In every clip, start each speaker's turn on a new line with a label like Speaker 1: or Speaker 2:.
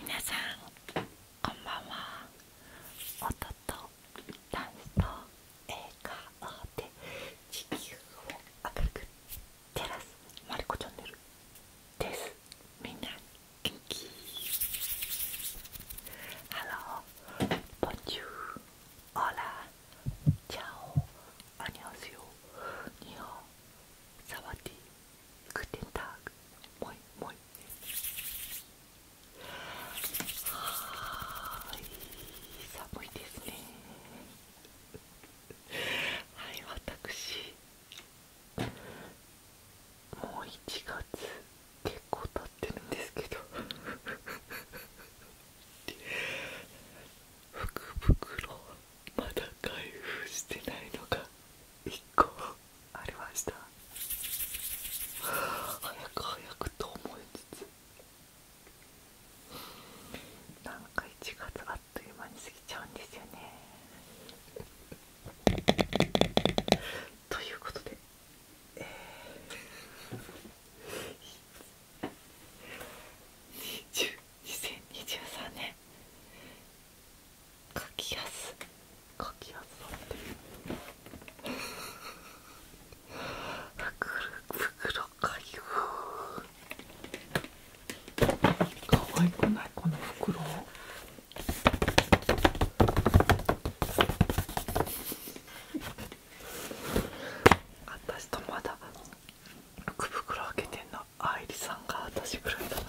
Speaker 1: 皆さんこんばんは音とダンスと映画で地球を明るく照らすまリコチャンネルですみんな元気ハローボンチュー Hola, ciao, annyeonghaseyo, nihon, sawadi, guten tag, moi moi. はい寒いですね。はい、私もう1月結構経ってるんですけど 福袋はまだ開封してないのが1個ありました早く早くと思いつつなんか1月あっという間に過ぎちゃうんですよねということでえ2023年書きやす書きやすさって袋かゆかわいくないこの袋私とまだ福袋開けてんの愛梨さんが私ぐらいだな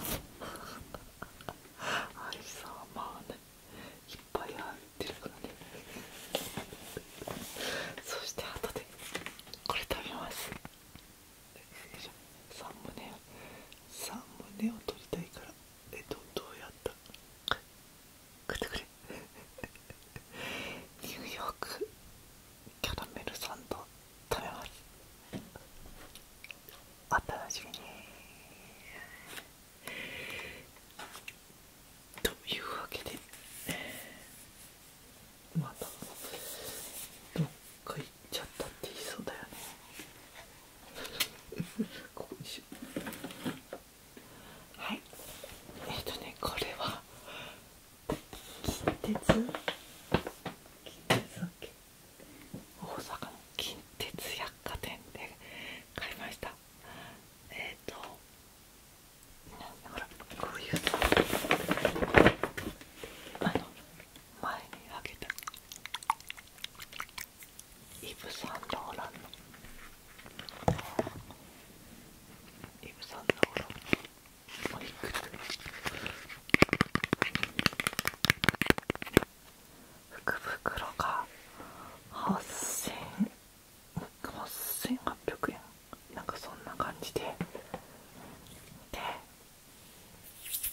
Speaker 1: 愛梨さんはまあねいっぱい入ってるからねそして後でこれ食べますサムネ胸ムネを取りたいからえっとどうやった食ってくれニューヨークキャラメルサンド食べますおしみというわけでまたどっか行っちゃったって言いそうだよね ここはいえっ、とねこれは近鉄近鉄だっ大阪の近鉄百貨店で買いましたえっ、と。ー、とほらこういうあの前にあげたイブ・サンローランのイブ・サンローランのマ福袋が8800円なんかそんな感じでで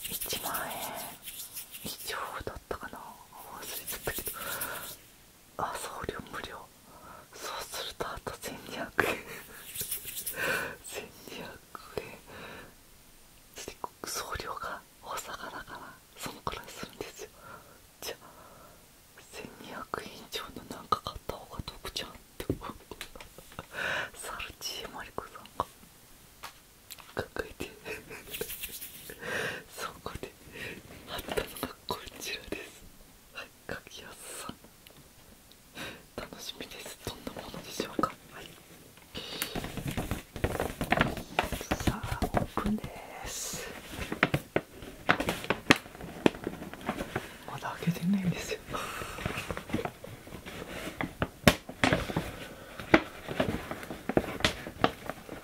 Speaker 1: 1万円以上だったかな忘れちゃったけどあ送料無料そうするとあと1200円1200円送料がお魚だからそのくらいするんですよじゃあ1200円以上の何か買った方が得じゃんってサルチーマリコさんが抱えてそこであったのがこちらですはい柿安さ楽しみですどんなものでしょうかはいさあオープンですまだ開けてないんですよ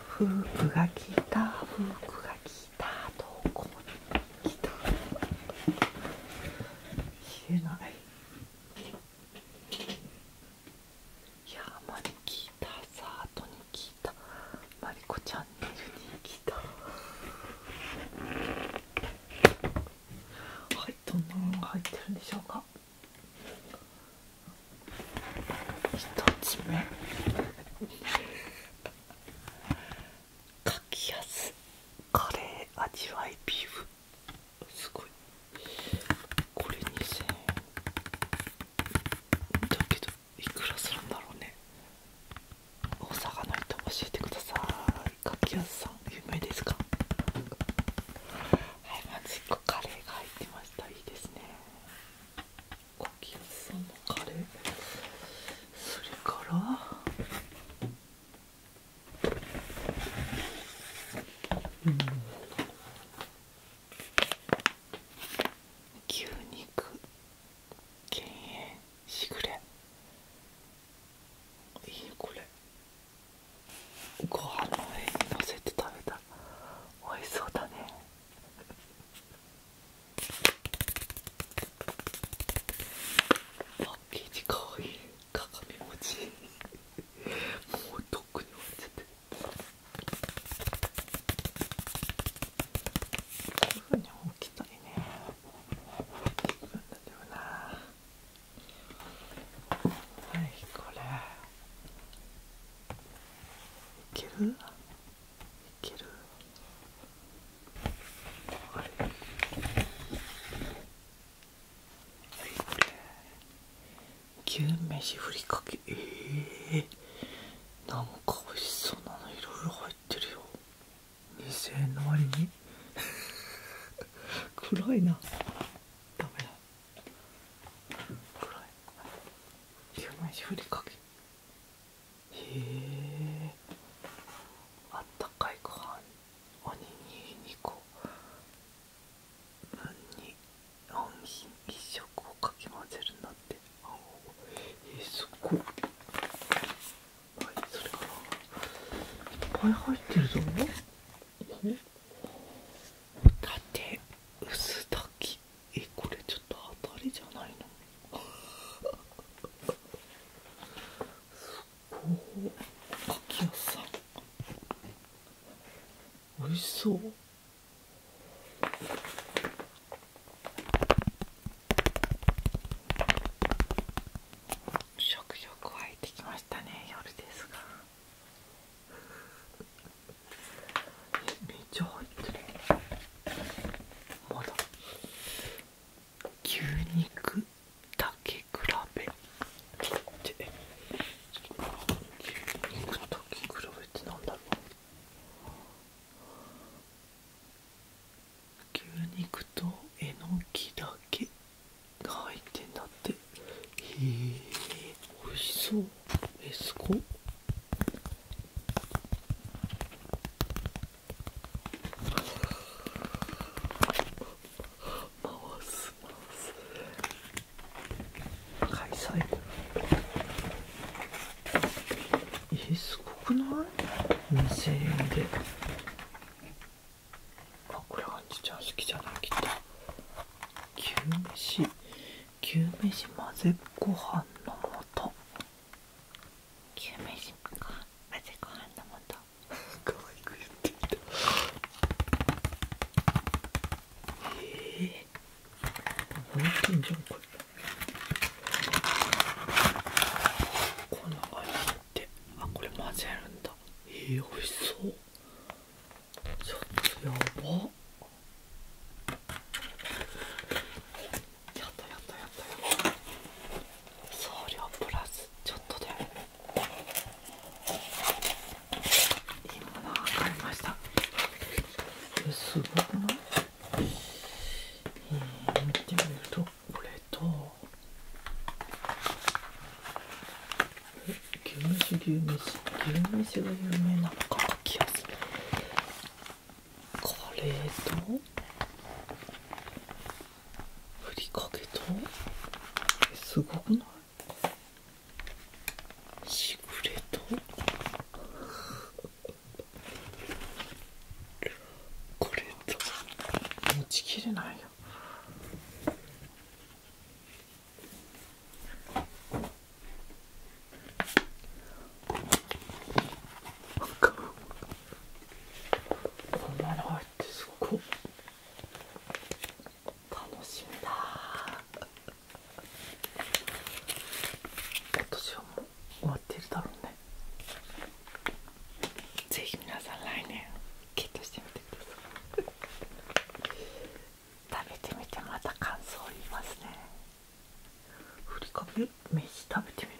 Speaker 1: フープがきたフープがきたどこ消えない山に来たサートに来たマリコチャンネルに来たはいどんなものが入ってるんでしょうか1つ目かきやすカレー味わいビーフすごいこれ2000円だけどいくらするんだろうね大阪の人教えてくださいかきやすさん有名ですかはいまず1個カレーが入ってましたいいですね柿吉さんのカレーそれからうん牛肉減塩しぐれいいこれご飯の上にのせて食べた美味しそうだねパッケージかわいい鏡餅もうとっくに終わっちゃってるこういうふうに置きたいねはいこれいけるいけるあれはいこれ牛めしふりかけええー、なんか美味しそうなのいろいろ入ってるよ2000円の割に 暗いなダメだ暗い10枚ふりかけへえあったかいご飯おにぎり2個分に本品一色をかき混ぜるんだってあえー、すごいはいそれからいっぱい入ってるぞだって薄炊きえこれちょっと当たりじゃないのすごかき屋さおいしそう食欲湧いてきましたね夜ですがめっちゃ入ってるまだ牛肉だけ比べって牛肉だ比べってなだろう牛肉とえのきだけが入ってんだってへえおいしそうえすごっ回す回す開催えすごくない ?2000 円であこれアンチちゃん好きじゃないきっ飯牛飯混ぜご飯の素牛飯ご飯混ぜご飯の素可愛く言ってみたえぇ、ー、泣いてんじゃんこれこんな感じってあこれ混ぜるんだえぇ、ー、美味しそうちょっとやばやったやったやったやった送料プラスちょっとでいいものが買いましたえすごくないえ見てみるとこれとえ牛めし牛めし牛めしが有名なのか書きやすカレーとふりかけとすごくないしぐれとこれと持ちきれないよこんなの入ってすご楽しみだ今年はもう終わってるだろうねぜひ皆さん来年ゲットしてみてください食べてみてまた感想言いますねふりかけ飯食べてみる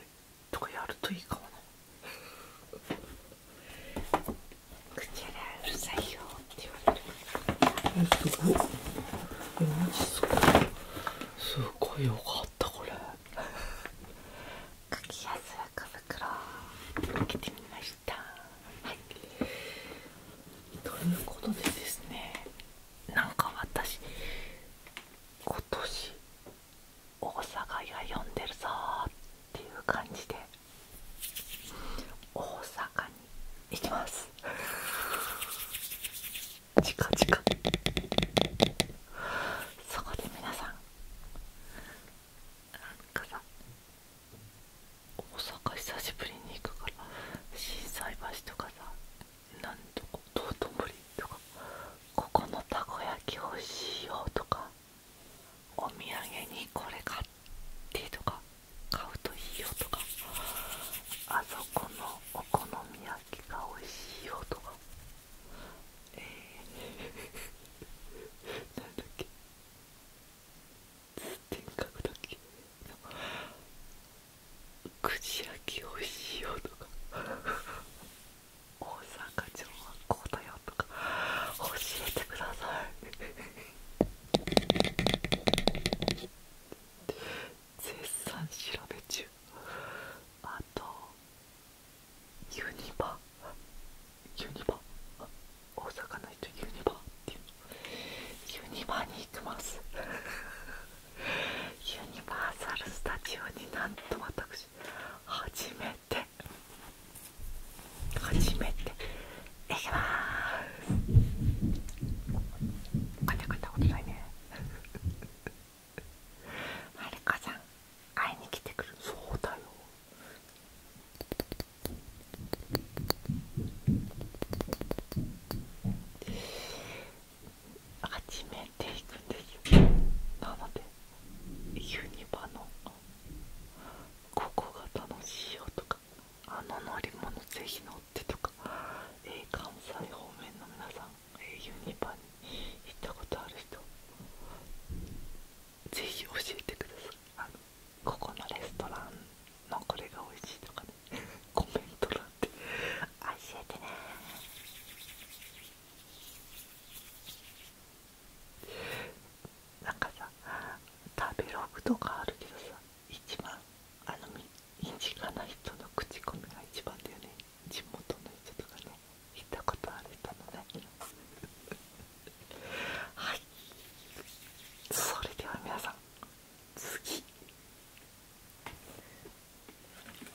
Speaker 1: とかやるといいかも口やうるさいよって言われるすごいマジすごいすごいよかったこれかきやす福袋開けてみましたはいということでですねなんか私今年大阪が読んでるぞーっていう感じで大阪に行きます近々そこで皆さんなんか大阪久しぶりに行くから心斎橋とかさなんとこ道頓堀とかここのたこ焼きおいしいよとかお土産にこれ買ってとか買うといいよとかあそこのお好み焼きがおいしいよとかえー なんだっけ点口焼きをしようとか大阪城はこうだよとか教えてください絶賛調べ中あとユニバユニバ大阪の人ユニバって言ユニバに行きますユニバーサル・スタジオになんと私初めて初めて行きまーすこんたことないねマリコさん会いに来てくるそうだよ始めていくんですなのでユニバのここが楽しいよとかあの乗り物ぜひ乗ってとか、関西方面の皆さん、ユニバに行ったことある人ぜひ教えてくださいここのレストランのこれが美味しいとかね コメント欄で教えてねなんかさ食べログとかあるけどさ一番あの身近な人の口コミが一番だよね地元の人とかね行ったことある人のね はいそれでは皆さん次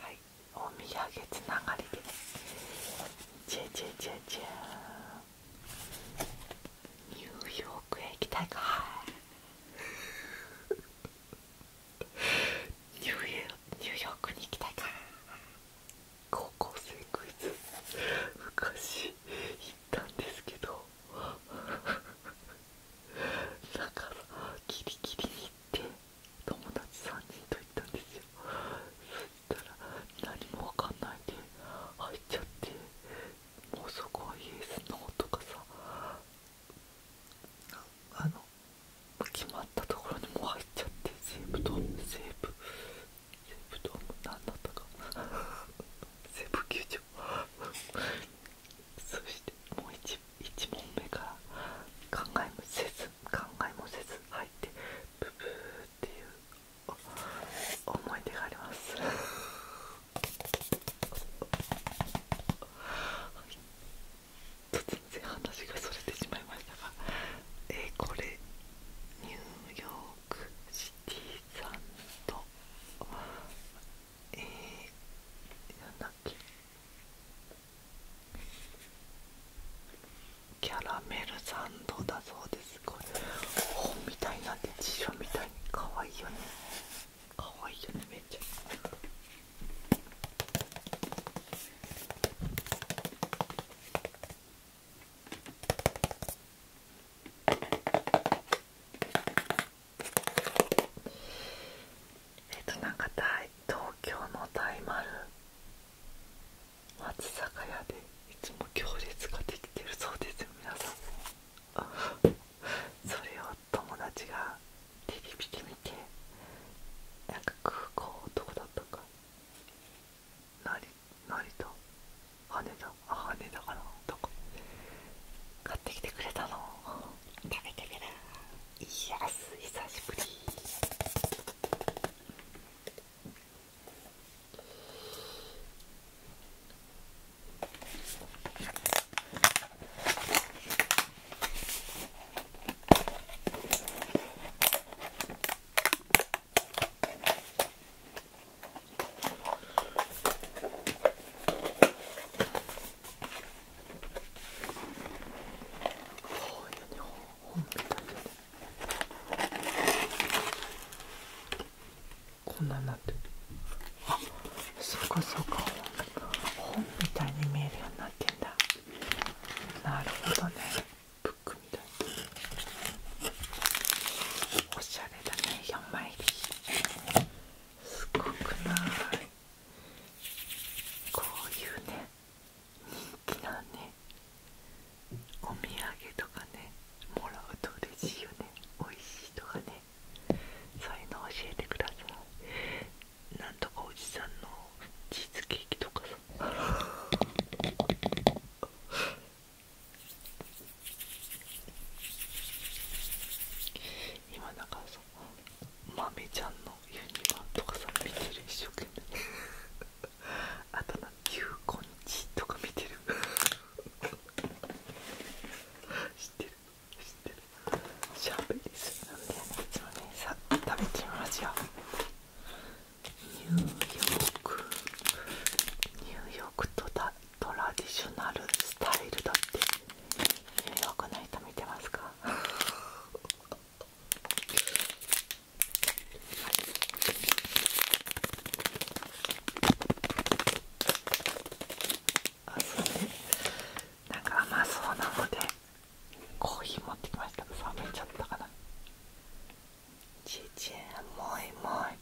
Speaker 1: はいお土産つながりでねチェチェチェチニューヨークへ行きたいかい ニューヨークに行きたいか高校生クイズ昔ったんですけどなん かギリキリに行って友達3人と行ったんですよそしたら何もわかんないで入っちゃってもうそこはイエスノーとかさあの決まったところにもう入っちゃって西武ドーム西武西武ドーム何だったか西武球そしてもう一、1問目から考えもせず考えもせず入ってブブーっていう思い出があります全然話がそれてしまいましたがえー、これニューヨークシティさんとえー、なんだっけキャラメルサンドだそうですこれ本みたいなって辞みたいに可愛いよね可愛いよねめっちゃえっとなんか大東京の大丸松坂屋でいつも行列ができてるそうですよ皆さんそれを友達がテレビで見てなんか空港どこだったか成 成田羽田あ寝たかなとか買ってきてくれたの食べてみるいやす久しぶりこんなんなってるあそうかそうか本みたいに見えるようになってんだなるほどねブックみたいおしゃれ。ゃれだね4枚入すごくないこういうね人気なねお土産とかねもらうと嬉しいよね美味しいとかねそういうの教えてくださいなんとかおじさんのチーズケーキとかさ 今なんかそさまめちゃんのユニバーとかさ見てる一生懸命 あとなゆうこんちとか見てる 知ってる知ってるしゃべりすぎなんだいつもねさ食べてみますよニューヨークニューヨークとだトラディショナルスタイルだって迷惑な人見てますかあそうねなんか甘そうなのでコーヒー持ってきましたけど冷めちゃったかなちちんもいもいい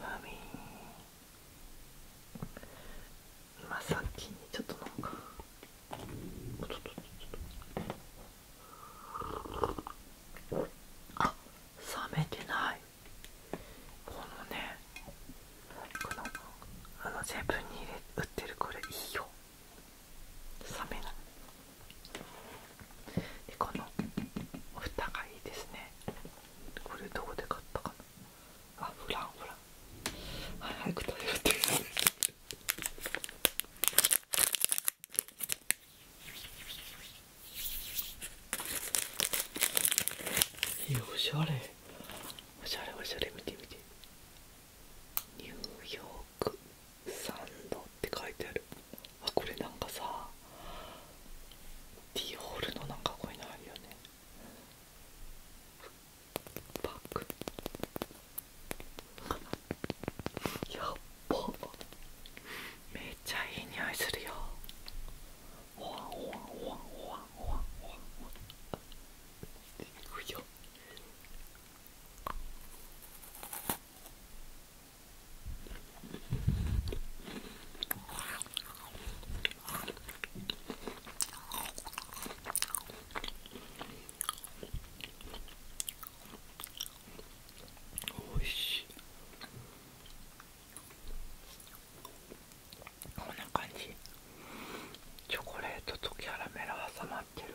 Speaker 1: マミーまあさっきにちょっとなんかおちょっとちょっとあ冷めてないこのねこのあのセブンに入れ売ってるこれいいよ冷めないこのお蓋がいいですねこれどこで買ったかなあフランフランはい早く食べるっていやおしゃれおしゃれおしゃれ見て見てニューヨークサンドって書いてあるあこれなんかさディオールのなんかこいのあるよねバッグやっばめっちゃいい匂いするよほわんほわんほわんほわんほわんほわんほわんいくよおいしこんな感じチョコレートとキャラメルは、さ、まってる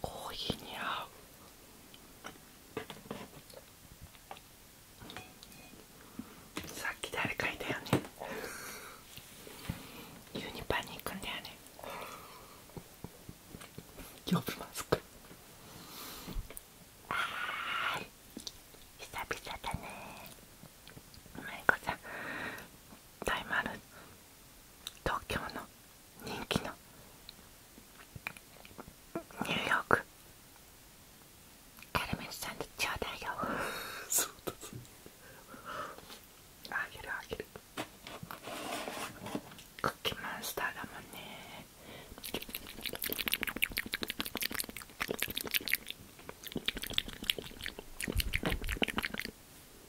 Speaker 1: コーヒーに合うさっき誰かいたよねユニパに行くんだよね呼びますかはい久々だねまいこさん大丸東京の人気のニューヨークカルメンさんにちょうだいよ そうだそうあげるあげるクッキーマンスターだもんね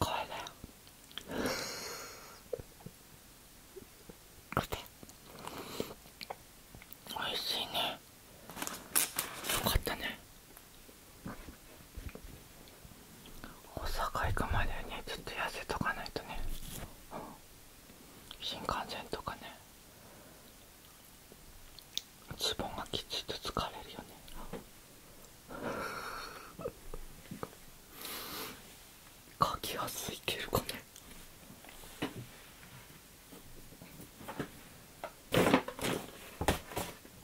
Speaker 1: これだよおいしいねよかったね大阪行くまでねちょっと痩せとかないとね、うん、新幹線とかねズボンがきちっと疲れるよねかきやすいけるかね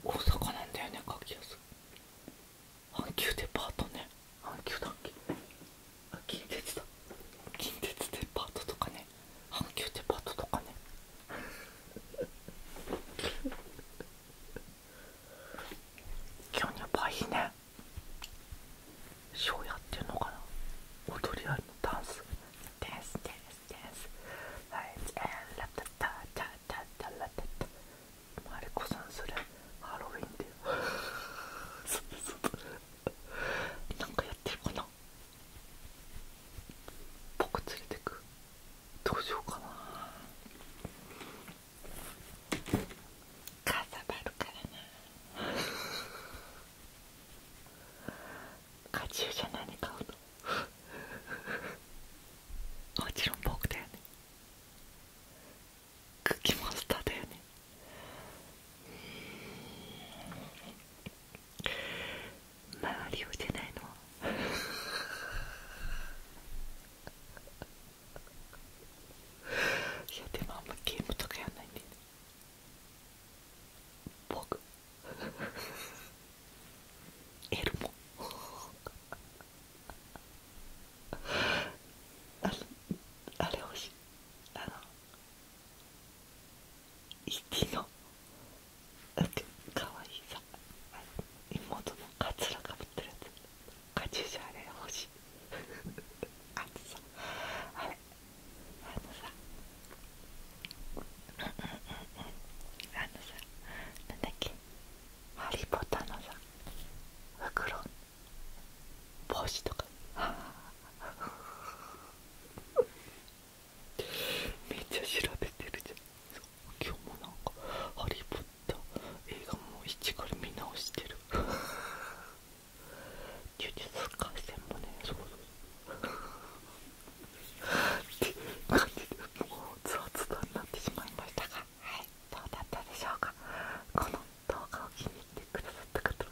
Speaker 1: 大阪なんだよねかきやすい阪急デパートね阪急だっけ近鉄だ近鉄デパートとかねね阪急デパートとかね今日やっぱいいねショーやってるのかな踊りありのダンスダンスダンスダンスはいラタタタタタラタタマリコさんそれハロウィンで なんかやってるかな僕連れてくどうしようかなかさばるからな カチューシャ何買うのもちろん僕だよねクッキーモンスターだよね周りをじゃないの いやでもあんまゲームとかやらないんで、僕 エルモ ああれ欲しいあの生きのかわいいさ妹のカツラがぶってるやつカチューシャあれ欲しいあとさあれあのさあのさなんだっけハリー・ポッターのさ袋帽子とかめっちゃ調べてるじゃん今日もなんか「ハリー・ポッター」映画も一から見直してる 呪術廻戦もねそうそうそうって感じでもうズワズワになってしまいましたがはいどうだったでしょうかこの動画を気に入ってくださった方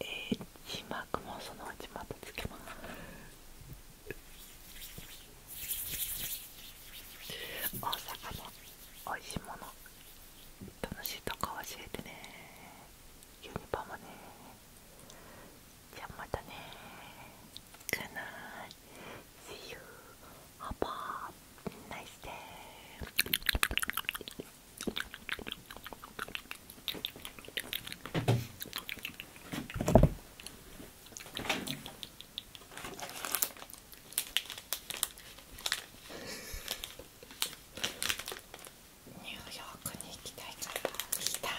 Speaker 1: えー、字幕もそのうちまたつけます大阪のおいしいもの楽しいとこ教えてねユニバもねじゃあまたね Good night See you Have a nice day ニューヨークに行きたいから行きたい